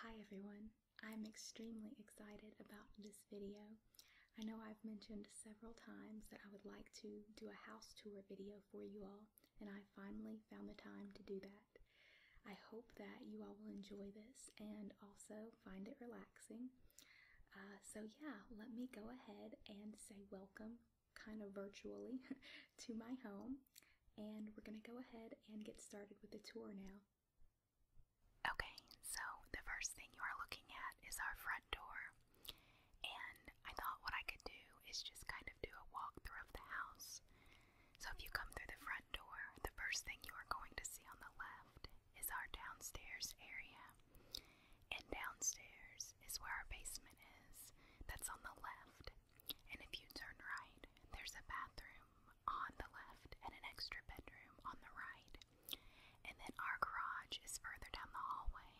Hi everyone, I'm extremely excited about this video. I know I've mentioned several times that I would like to do a house tour video for you all, and I finally found the time to do that. I hope that you all will enjoy this and also find it relaxing. Uh, so yeah, let me go ahead and say welcome, kind of virtually, to my home. And we're going to go ahead and get started with the tour now. Okay, so the first thing you are looking at is our front door. And I thought what I could do is just kind of do a walkthrough of the house. So if you come through the front door, the first thing you are going to see on the left is our downstairs area. And downstairs is where our basement is. That's on the left. And if you turn right, there's a bathroom on the left and an extra bedroom on the right. And then our garage is further down the hallway.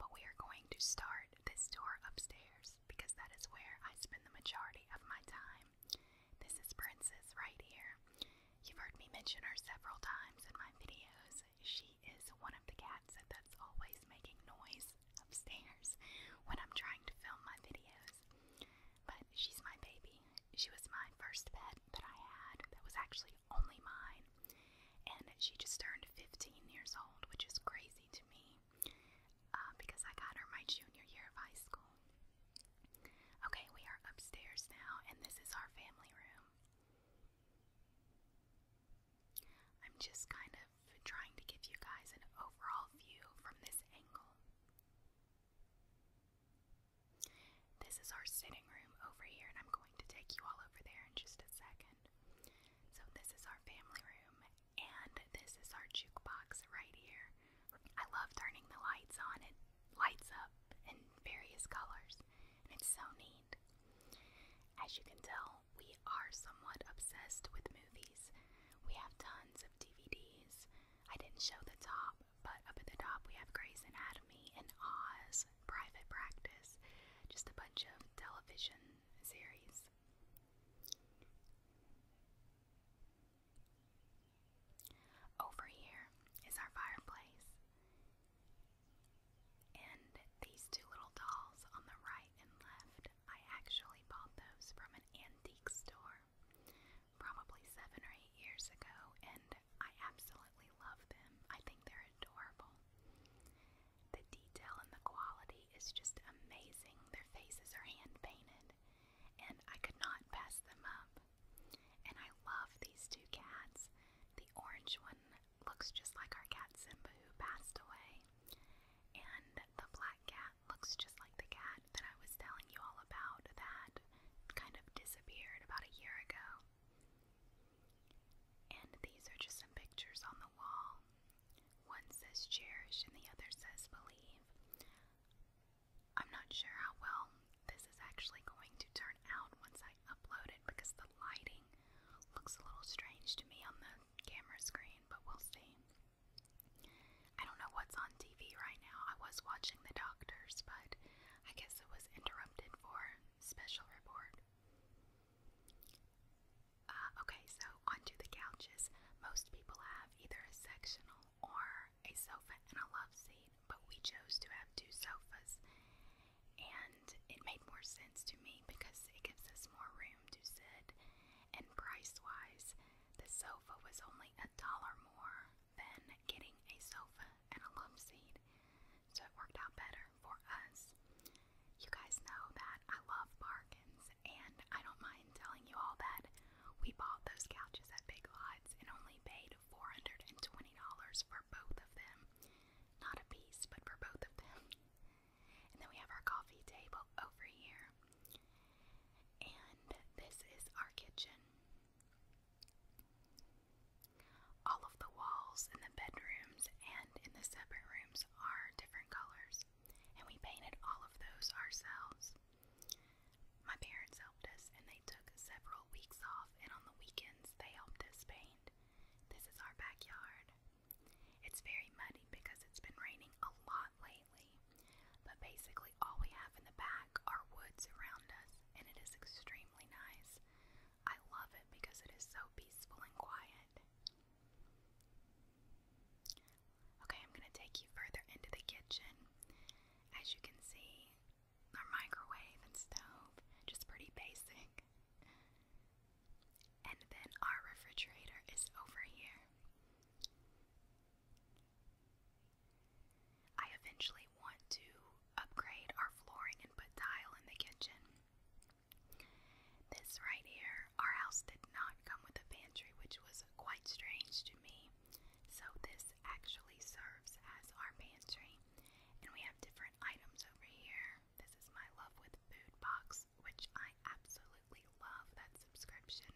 But we are going to start this door upstairs because that is where I spend the majority of my time. This is Princess right here. You've heard me mention her several times in my videos. She is one of the cats that's always making noise upstairs when I'm trying to film my videos. But she's my baby. She was my first pet that I had that was actually only mine. And she just turned 15 years old, which is crazy to me uh, because I got her my junior year of high school. Okay, we are upstairs now, and this is our family room. I'm just kind of trying to give you guys an overall view from this angle. This is our sitting room over here, and I'm going to take you all over there in just a second. So, this is our family room, and this is our jukebox right here. I love turning the lights on, it lights up in various colors, and it's so neat. As you can tell, we are somewhat obsessed with movies. We have tons of DVDs. I didn't show the top, but up at the top we have Grey's Anatomy and Oz, Private Practice, just a bunch of television series. Over here is our fireplace. And these two little dolls on the right and left, I actually bought those from an antique store probably seven or eight years ago, and I absolutely love them. I think they're adorable. The detail and the quality is just amazing. Their faces are hand painted, and I could not pass them up. And I love these two cats. The orange one looks just like our cat Simba who passed away, and the black cat looks just like the cat that I was telling you all about that kind of disappeared about a year ago. And these are just some pictures on the wall. One says cherish and the other says believe. I'm not sure how well this is actually going to turn out once I upload it because the lighting looks a little strange to me on the camera screen, but we'll see. I don't know what's on TV right now. I was watching The Doctors, but I guess it was interrupted for special report. Uh, okay, so onto the couches. Most people have either a sectional or a sofa and a love seat, but we chose to have two sofas, and it made more sense to me because it gives us more room room to sit, and price wise, the sofa was only a dollar more than getting a sofa and a love seat, so it worked out better for us. You guys know that I love bargains, and I don't mind telling you all that we bought those couches at Big Lots and only paid $420 for both of them. Not a piece, but for both of them. And then we have our coffee table over here. And this is our kitchen. All of the walls in the bedrooms and in the separate rooms are different colors, and we painted all of those ourselves. My parents helped us, and they took several weeks off, and on the weekends they helped us paint. This is our backyard. It's very muddy because it's been raining a lot lately but basically all we have in the back are woods around us, and it is extremely nice. I love it because it is so peaceful and quiet. Okay, I'm going to take you further into the kitchen. As you can see, our microwave and stove, just pretty basic. And then our refrigerator is over here. I eventually want to upgrade our flooring and put tile in the kitchen. This right here, our house did not come with a pantry, which was quite strange to me. So, this actually serves as our pantry. And we have different items over here. This is my Love with Food box, which I absolutely love that subscription.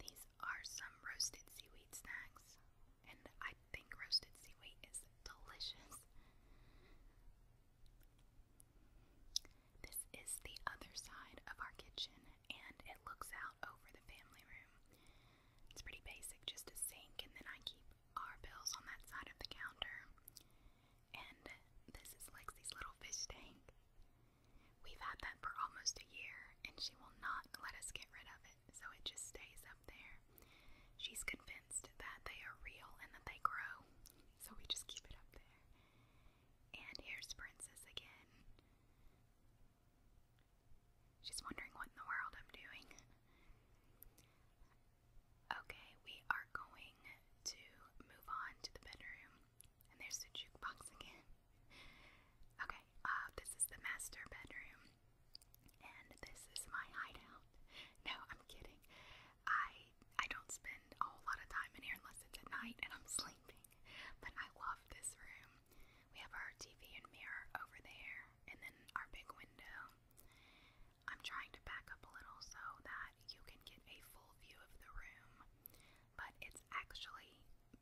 These are some roasted seaweed snacks, and I think roasted seaweed is delicious. This is the other side of our kitchen, and it looks out over the family room. It's pretty basic, just a sink, and then I keep our bills on that side of the counter. And this is Lexi's little fish tank. We've had that for almost a year, and she will not let us get rid of it, so it just stays up there. She's convinced that they are real and that they grow, so we just keep it up there. And here's Princess again. She's wondering what in the world I'm doing. Okay, we are going to move on to the bedroom. And there's the jukebox again. Okay, uh, this is the master bedroom. And this is my hideout. No, I'm kidding. I I don't spend a lot of time in here unless it's at night and I'm sleeping. But I love this room. We have our TV and mirror over there, and then our big window. I'm trying to back up a little so that you can get a full view of the room but it's actually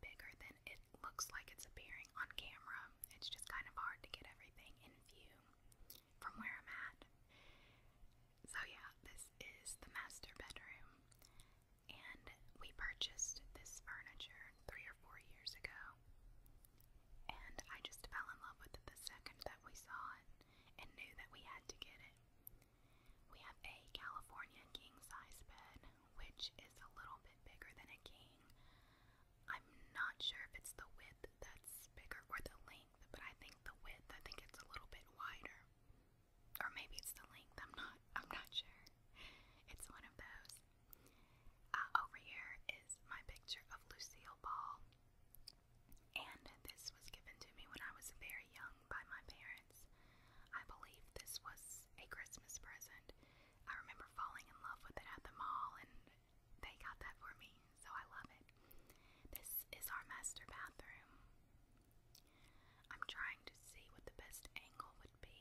bigger than it looks like it's appearing on camera. It's just kind of hard to get everything in view from where I'm at. So, yeah, this is the master bedroom, and we purchased this furniture three or four years ago. And I just fell in love with it the second that we saw it and knew that we had to get it. We have a California king size bed, which is a little bit bigger than a king. I'm not sure if it's the width that's bigger or the length, but I think the width, I think it's a little bit wider. Or maybe it's the length, I'm not I'm not sure. It's one of those. Uh, over here is my picture of Lucille Ball. And this was given to me when I was very young by my parents. I believe this was a Christmas present. I remember falling in love with it at the mall, and they got that for me, so I love it. This is our master bathroom. I'm trying to see what the best angle would be.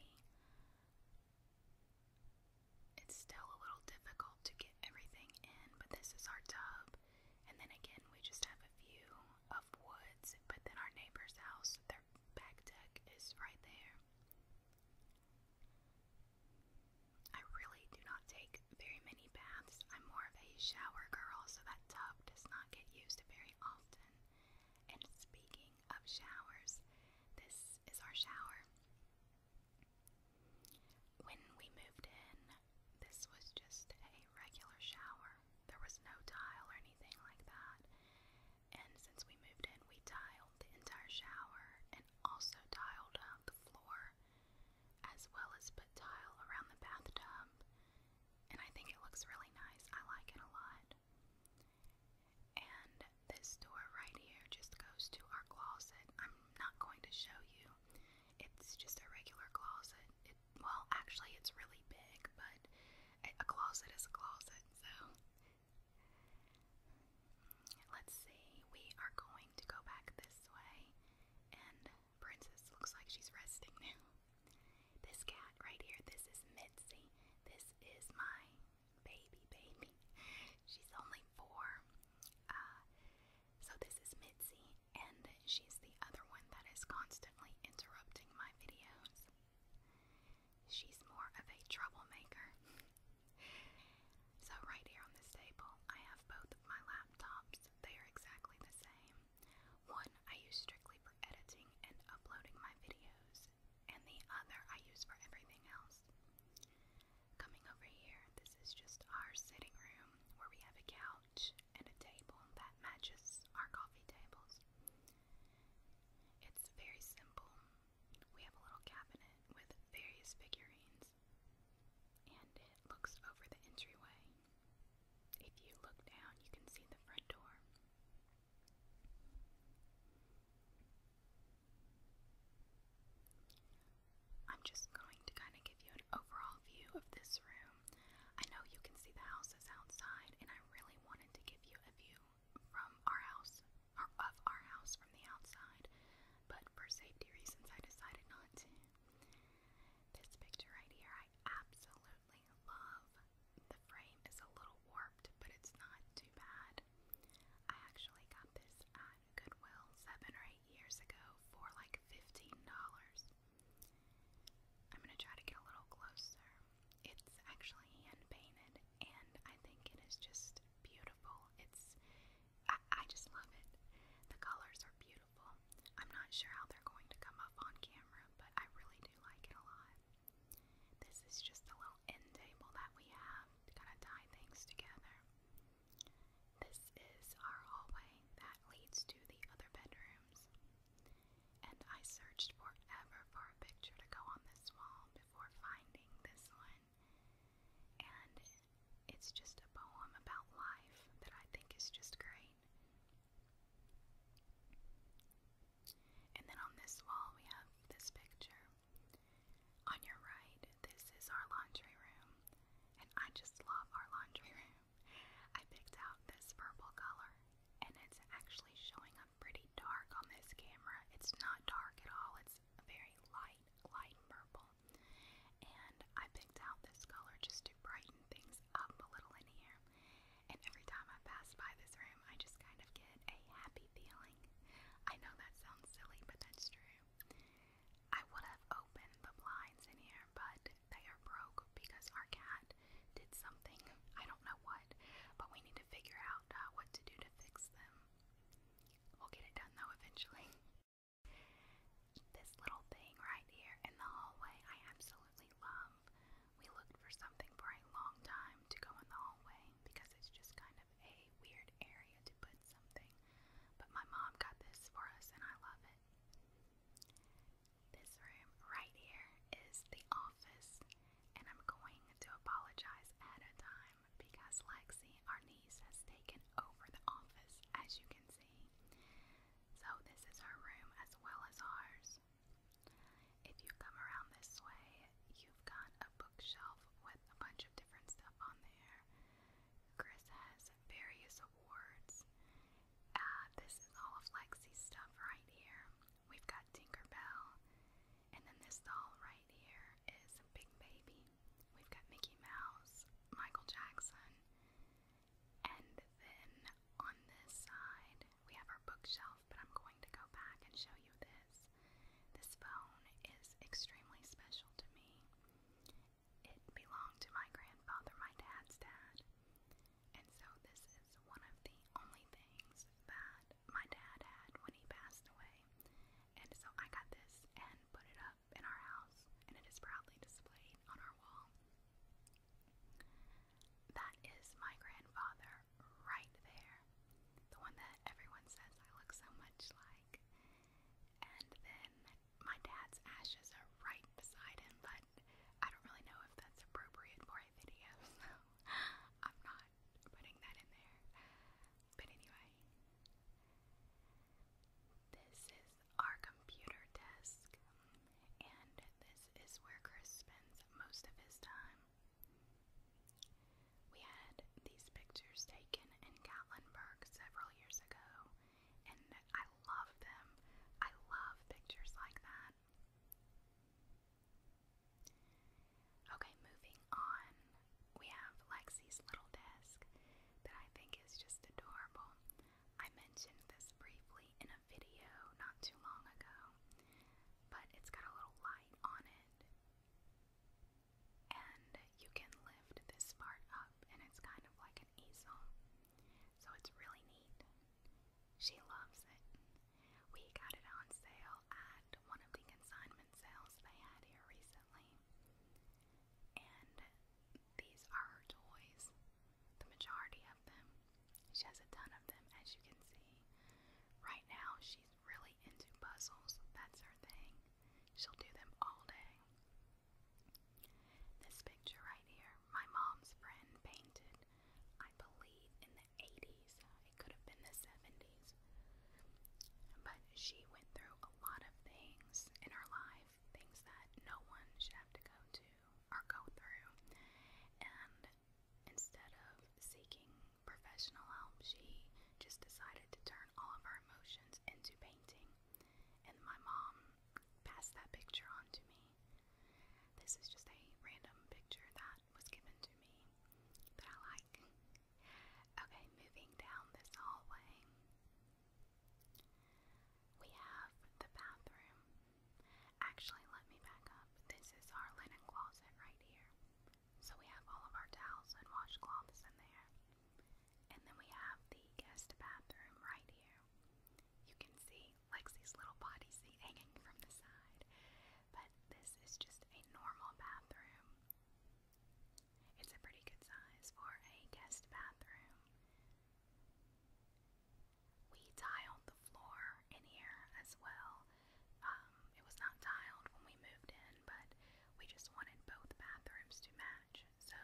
It's still a little difficult to get everything in, but this is our tub. And then again, we just have a few of woods, but then our neighbor's house, their back deck is right there. I really do not take very many baths. I'm more of a shower girl, so that tub does not get used very often. And speaking of showers, this is our shower. When we moved in, this was just a regular shower. There was no tile or anything like that. And since we moved in, we tiled the entire shower and also tiled out the floor, as well as put tile around the bathtub. And I think it looks really nice. I like it a lot. And this door right here just goes to our closet. I'm not going to show you, it's just a regular closet well, actually, it's really big, but a, closet is a closet, so. Let's see, we are going to go back this way, and Princess looks like she's resting now. This cat right here, this is Mitzi. This is my baby, baby. She's only four. Uh, so, this is Mitzi, and she's the other one that is constantly interrupting my videos. She's more of a troublemaker. so, right here on this table, I have both of my laptops. They are exactly the same. One I use strictly for editing and uploading my videos, and the other I use for everything else. Coming over here, this is just our sitting room where we have a couch and a table that matches our coffee tables. It's very simple. We have a little cabinet with various figurines, and it looks over the entryway. If you look down, you can see the front door. I'm just going to kind of give you an overall view of this room room. I know you can see the houses outside, and I really wanted to give you a view from our house, or of our house from the outside, but for safety reasons, I decided not to. This picture right here, I absolutely love. The frame is a little warped, but it's not too bad. I actually got this at Goodwill seven or eight years ago for like $15. I'm gonna try to get a little closer. It's actually hand painted, and I think it is just beautiful. It's I, just love it. The colors are beautiful. I'm not sure how they're going to come up on camera, but I really do like it a lot. This is just a little end table that we have to kind of tie things together. This is our hallway that leads to the other bedrooms. And I searched forever for a picture to go on this wall before finding this one. And it's just a poem about life that I think is just great. And then on this wall, we have this picture. On your right, this is our laundry room. And I just love our laundry room. I picked out this purple color, and it's actually showing up pretty dark on this camera. It's not dark at all, it's a very light, light purple. And I picked out this color just to brighten things up a little in here. And every time I pass by this room, I just kind of get a happy feeling. I know that sounds silly, but that's true. I would have opened the blinds in here, but they are broke because our cat did something. I don't know what, but we need to figure out uh, what to do to fix them. We'll get it done though eventually. This little thing right here in the hallway, I absolutely love. We looked for something for a long time to go in the hallway because it's just kind of a weird area to put something. But my mom got this for us and I love it. This room right here is the office, and I'm going to apologize at a time because Lexi, our niece, has taken over the office, as you can see. So, this is her room as well as ours. If you come around this way, you've got a bookshelf with a bunch of different stuff on there. Chris has various awards. Uh, this is all of Lexi's stuff right here. We've got Tinker Bell, And then this doll right here is Big Baby. We've got Mickey Mouse, Michael Jackson. And then on this side, we have our bookshelf, but I'm going to go back and show you this. This phone is extremely special to me. It belonged to my grandfather, my dad's dad. And so, this is one of the only things that my dad had when he passed away. And so, I got this and put it up in our house, and it is proudly displayed on our wall. That is my grandfather right there, the one that everyone says I look so much like. And then my dad's ashes are right beside him, but I don't really know if that's appropriate for a video, so I'm not putting that in there. But anyway, this is our computer desk, and this is where Chris spends most of his time. We had these pictures taken in Gatlinburg several years ago, and I love them. I love pictures like that. Okay, moving on. We have Lexi's little desk that I think is just adorable. I mentioned this briefly in a video not too long ago, but it's got a little light on it. And you can lift this part up, and it's kind of like an easel. So it's really neat. She loves it. We got it on sale at one of the consignment sales they had here recently. And these are her toys, the majority of them. She has a ton of them, as you can see. Right now, she's really into puzzles. That's her thing. She'll do them all day. This picture right here, my mom's friend painted, I believe, in the 80s. It could have been the 70s. But she went through a lot of things in her life, things that no one should have to go to or go through. And instead of seeking professional help, she just decided to turn all of her emotions into painting. And my mom pass that picture on to me. This is just a random picture that was given to me that I like. Okay, moving down this hallway, we have the bathroom. Actually, let me back up. This is our linen closet right here. So we have all of our towels and washcloths in there. And then we have the guest bathroom right here. You can see Lexi's little body seat hanging from the side, but this is just a normal bathroom. It's a pretty good size for a guest bathroom. We tiled the floor in here as well. Um, it was not tiled when we moved in, but we just wanted both bathrooms to match, so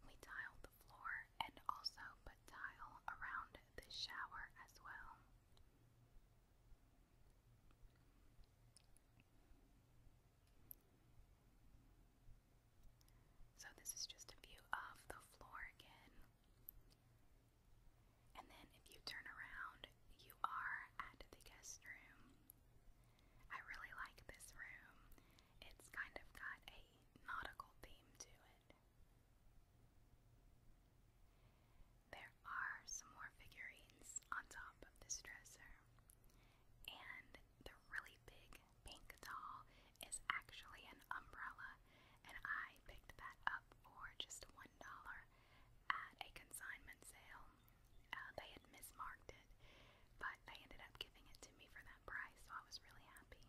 we tiled the floor and also put tile around the shower as well. So, this is just a view of the floor again. And then, if you turn around, you are at the guest room. I really like this room. It's kind of got a nautical theme to there are some more figurines on top of this dresser, and the really big pink doll is actually an umbrella, and I picked that up for just one dollar at a consignment sale. Uh, they had mismarked it, but they ended up giving it to me for that price, so I was really happy.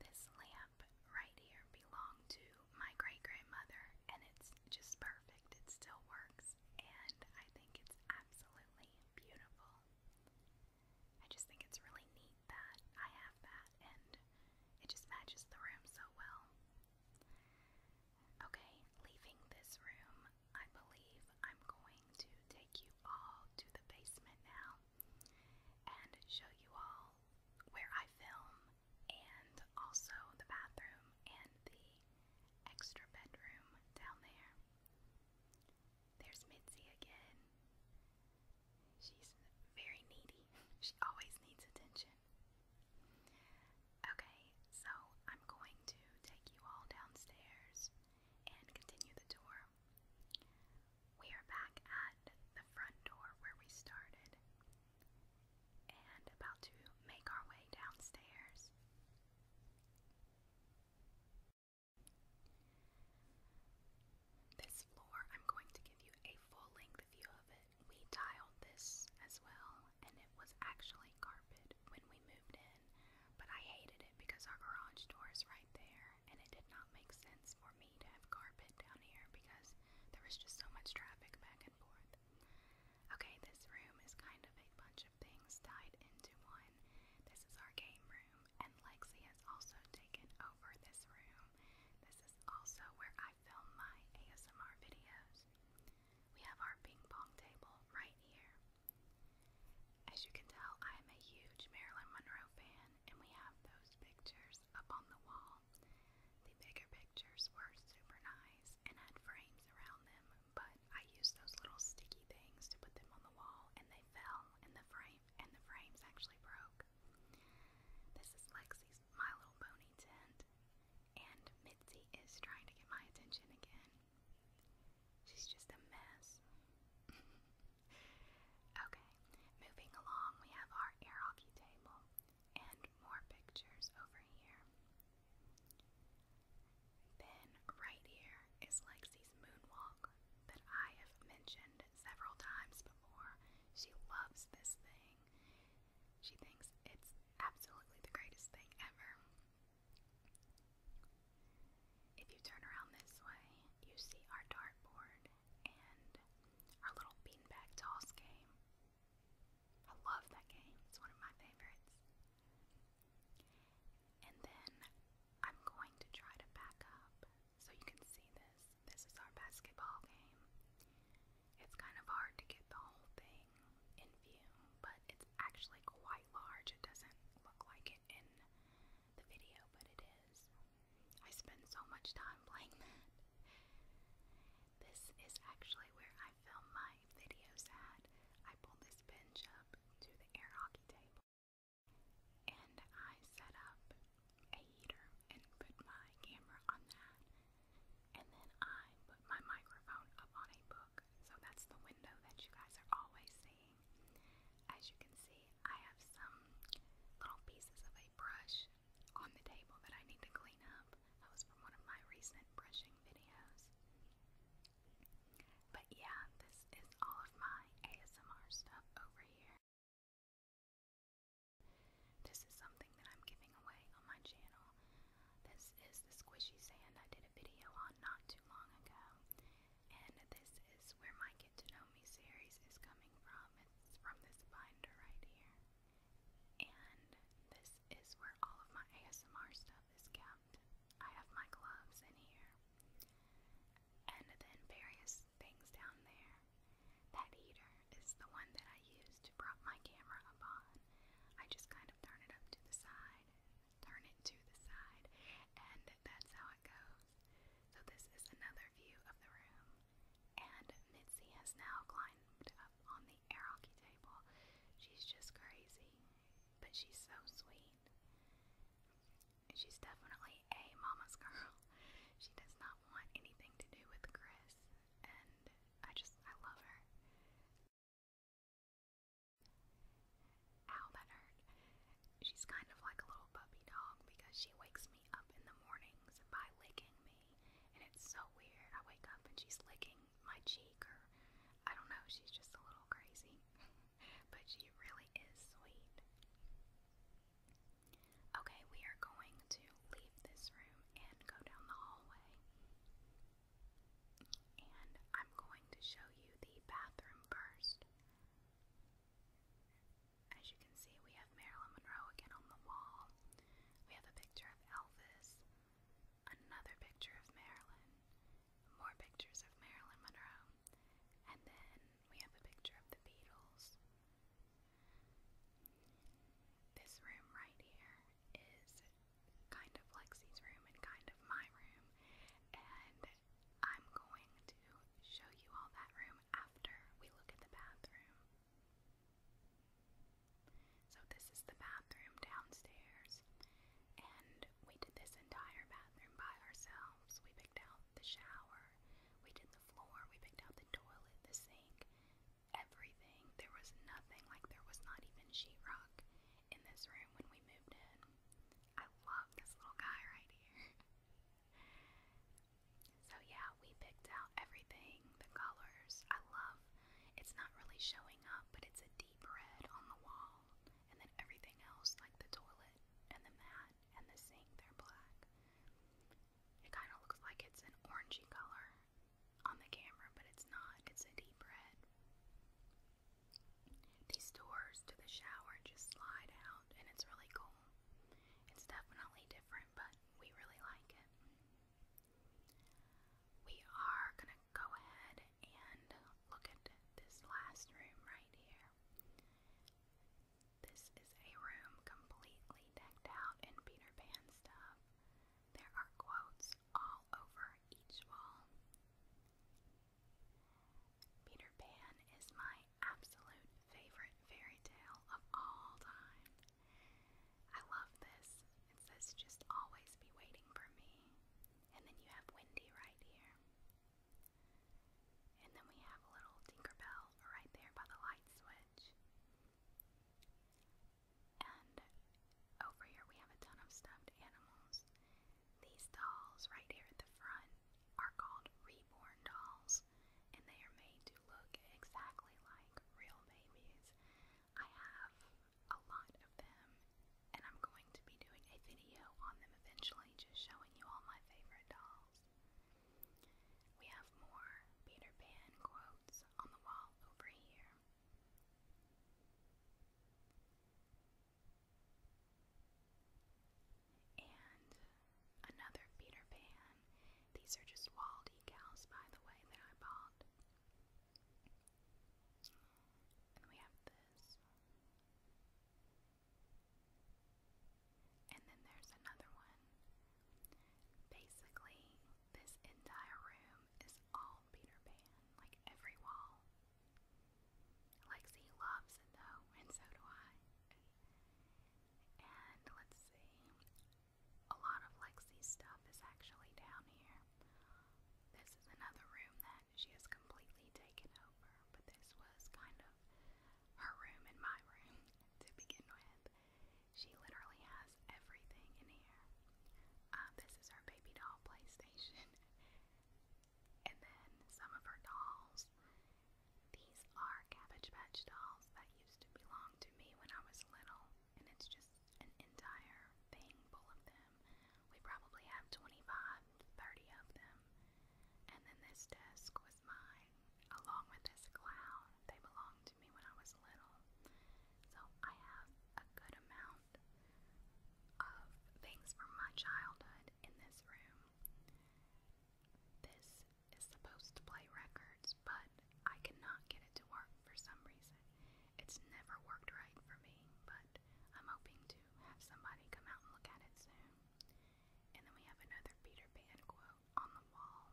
This lamp right here belonged to my great grandmother, and it's just perfect. It still works, and I think it's absolutely beautiful. I just think it's really neat that I have that, and it just matches the room so well. Okay, leaving this room, I believe I'm going to take you all to the basement now and show you all where I film and also the bathroom and the extra bedroom down there. There's Mitzi again. She's very needy. She always needs attention. Okay, so I'm going to take you all downstairs and continue the tour. We are back at the front door where we started and about to make our way downstairs. This floor, I'm going to give you a full length view of it. We tiled this as well, and it was actually carpet when we moved in, but I hated it because our garage door is right there and it did not make sense for me to have carpet down here because there was just so much traffic back and forth. Okay, this room is kind of a bunch of things tied into one. This is our game room, and Lexi has also taken over this room. This is also where I film my ASMR videos. We have our ping pong table right here. As you can tell, I am a huge Marilyn Monroe fan, and we have those pictures up on the wall. The bigger pictures were super nice and had frames around them, but I used those little sticky things to put them on the wall, and they fell, and the frame and the frames actually broke. This is Lexi's My Little Pony tent, and Mitzi is trying to get my attention again. She's just a mess. Okay, moving along, we have our air hockey table and more pictures over here. Then, right here is Lexi's moonwalk that I have mentioned several times before. She loves this thing, she thinks it's absolutely the greatest thing ever. If you turn around this way, you see our dartboard and our little beanbag toss game. I love that game, it's one of my favorites. And then I'm going to try to back up so you can see this. This is our basketball game. It's kind of hard to get the whole thing in view, but it's actually quite large. It doesn't look like it it in the video, but it is. I spend so much time playing that. This is actually where I film my videos at. I pulled this bench up to the air hockey table and I set up a heater and put my camera on that. And then I put my microphone up on a book. So that's the window that you guys are always seeing. As you can see, I have some little pieces of a brush on the table that I need to clean up. That was from one of my recent brushing videos. But yeah, this is all of my ASMR stuff over here. This is something that I'm giving away on my channel. This is the squishy sand I did a video on not too long ago and this is where my Get to Know Me series is coming from. It's from this binder right here. And this is where all of my ASMR stuff is kept. I have my gloves in here. And then various things down there. That heater is the one that I use to prop my camera up on. I just kind of turn it up to the side, turn it to the side, and that's how it goes. So this is another view of the room. And Mitzi has now climbed up on the air table. She's just crazy, but she's so sweet. She's definitely a mama's girl. She does not want anything to do with Chris, and I just, I love her. Ow, She's kind of like a little puppy dog because she wakes me up in the mornings by licking me. And it's so weird. I wake up and she's licking my cheek, or I don't know, she's just a little crazy. but she really is sweet. Okay, we are going to leave this room and go down the hallway. And I'm going to show you the bathroom first. As you can see, we have Marilyn Monroe again on the wall. We have a picture of Elvis, another picture of Marilyn, more pictures of Marilyn Monroe, and then we have a picture of the Beatles. This room right here is kind of Lexie's room and kind of my room, and I'm going to show you all that room after we look at the bathroom. So, this is the bathroom downstairs, and we did this entire bathroom by ourselves. We picked out the shower, we did the floor, we picked out the toilet, the sink, everything. There was nothing, like, there was not even sheetrock in this room when we moved in. I love this little guy right here. so yeah, we picked out everything, the colors. I love it's not really showing up, but it's a deep red on the wall. And then everything else, like the toilet and the mat and the sink, they're black. It kind of looks like it's an orangey color on the camera, but it's not. It's a deep red these doors to the shower just slide out, and it's really cool. It's definitely different, but we really like it. We are going to go ahead and look at this last room right here. This is a room completely decked out in Peter Pan stuff. There are quotes all over each wall. Peter Pan is my absolute favorite fairy tale of all time. I love this. It says just always be waiting for me. And then you have Wendy right here. And then we have a little Tinkerbell right there by the light switch. And over here we have a ton of stuffed animals. These dolls right here at the front are called reborn dolls, and they are made to look exactly like real babies. I have a lot of them, and I'm going to be doing a video on them eventually, just showing you all my favorite dolls. We have more Peter Pan quotes on the wall over here. And another Peter Pan. These are just wall decals, by the way, that I bought. And we have this. And then there's another one. Basically, this entire room is all Peter Pan, like every wall Lexi loves it though, and so do I. And let's see, a lot of Lexi's stuff is actually down here. This is another room that she has completely taken over, but this was kind of her room and my room to begin with. She literally has everything in here. Uh, this is her baby doll PlayStation. and then some of her dolls. These are Cabbage Patch dolls that used to belong to me when I was little, and it's just an entire thing full of them. We probably have 25, 30 of them. And then this desk was mine, along with this cloud. They belonged to me when I was little. So I have a good amount of things from my childhood in this room. This is supposed to play records, but I cannot get it to work for some reason. It's never worked right for me, but I'm hoping to have somebody come out and look at it soon. And then we have another Peter Pan quote on the wall.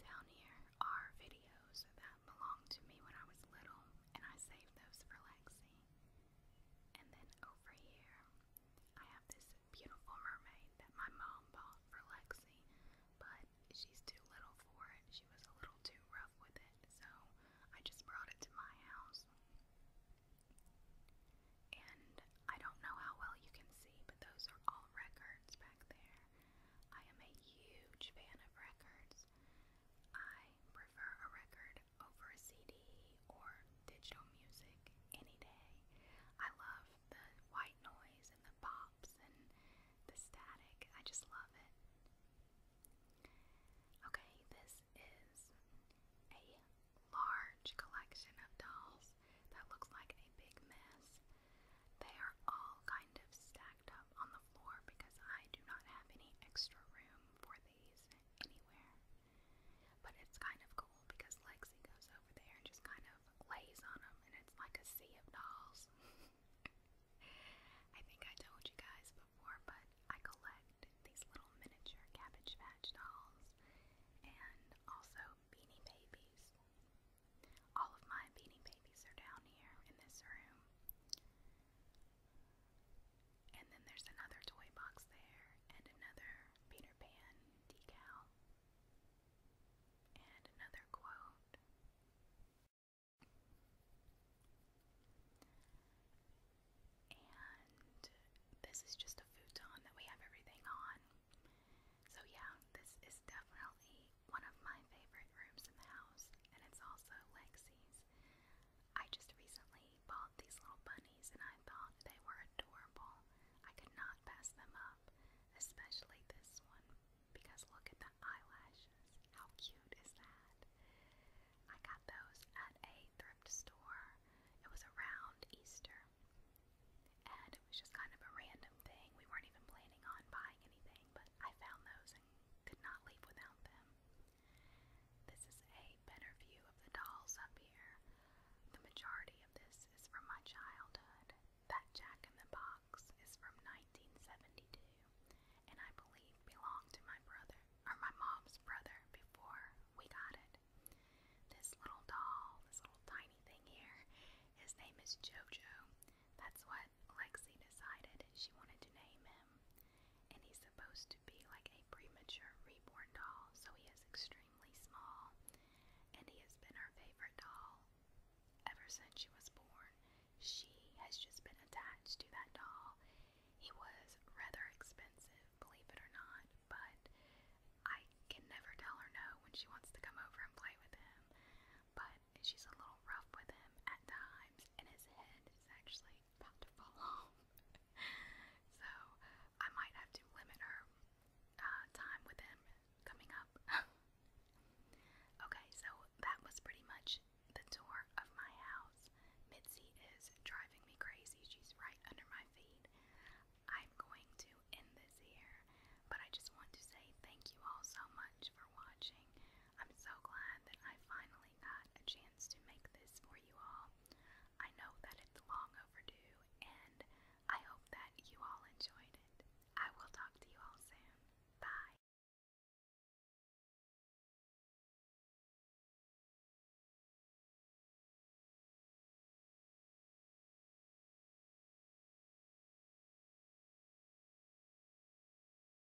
Down here are videos that belonged to me when I was little, and I saved those for Lexi. And then over here, I have this beautiful mermaid that my mom bought for Lexi, but she's too little for it. She was a little too rough with it, so I just brought it to my house. And I don't know how well you can see, but those are all records back there. I am a huge fan of records. I I prefer a record over a CD or digital music any day. I love the white noise and the pops and the static. I just love it. Okay, this is a large collection of dolls that looks like a big mess. They are all kind of stacked up on the floor because I do not have any extra room for these anywhere. But it's kind of cool because Lexi goes over there and just kind of lays on them, and it's like a sea of dolls. I think I told you guys before, but I collect these little miniature Cabbage Patch dolls and also Beanie Babies. All of my Beanie Babies are down here in this room. And then there's another toy box there, and another Peter Pan decal, and another quote. And this is just a futon that we have everything on. So, yeah, this is definitely one of my favorite rooms in the house, and it's also Lexi's. I just recently bought these little bunnies and I thought they were adorable. I could not pass them up, especially this one, because look at the eyelashes. How cute is that? I got those at a thrift store. It was around Easter. And it was just kind of a random thing. We weren't even planning on buying anything, but I found those and could not leave without them. This is a better view of the dolls up here. The majority of this is from my childhood. That Jack in the Box is from 1972 and I believe belonged to my brother or my mom's brother before we got it. This little doll, this little tiny thing here, his name is Jojo. That's what Lexi decided she wanted to name him, and he's supposed to be like a premature reborn doll, so he is extremely small, and he has been our favorite doll ever since she was born. She has just been attached to that doll. He was rather expensive, believe it or not, but I can never tell her no when she wants to come over and play with him. But she's a little rough with him at times, and his head is actually about to fall off. so I might have to limit her uh, time with him coming up. okay, so that was pretty much the tour of my house. Mitzi is driving me crazy. She's right under my feet. I'm going to end this here, but I just want to say thank you all so much for watching. I'm so glad that I finally got a chance to make this for you all. I know that it's long overdue, and I hope that you all enjoyed it. I will talk to you all soon. Bye.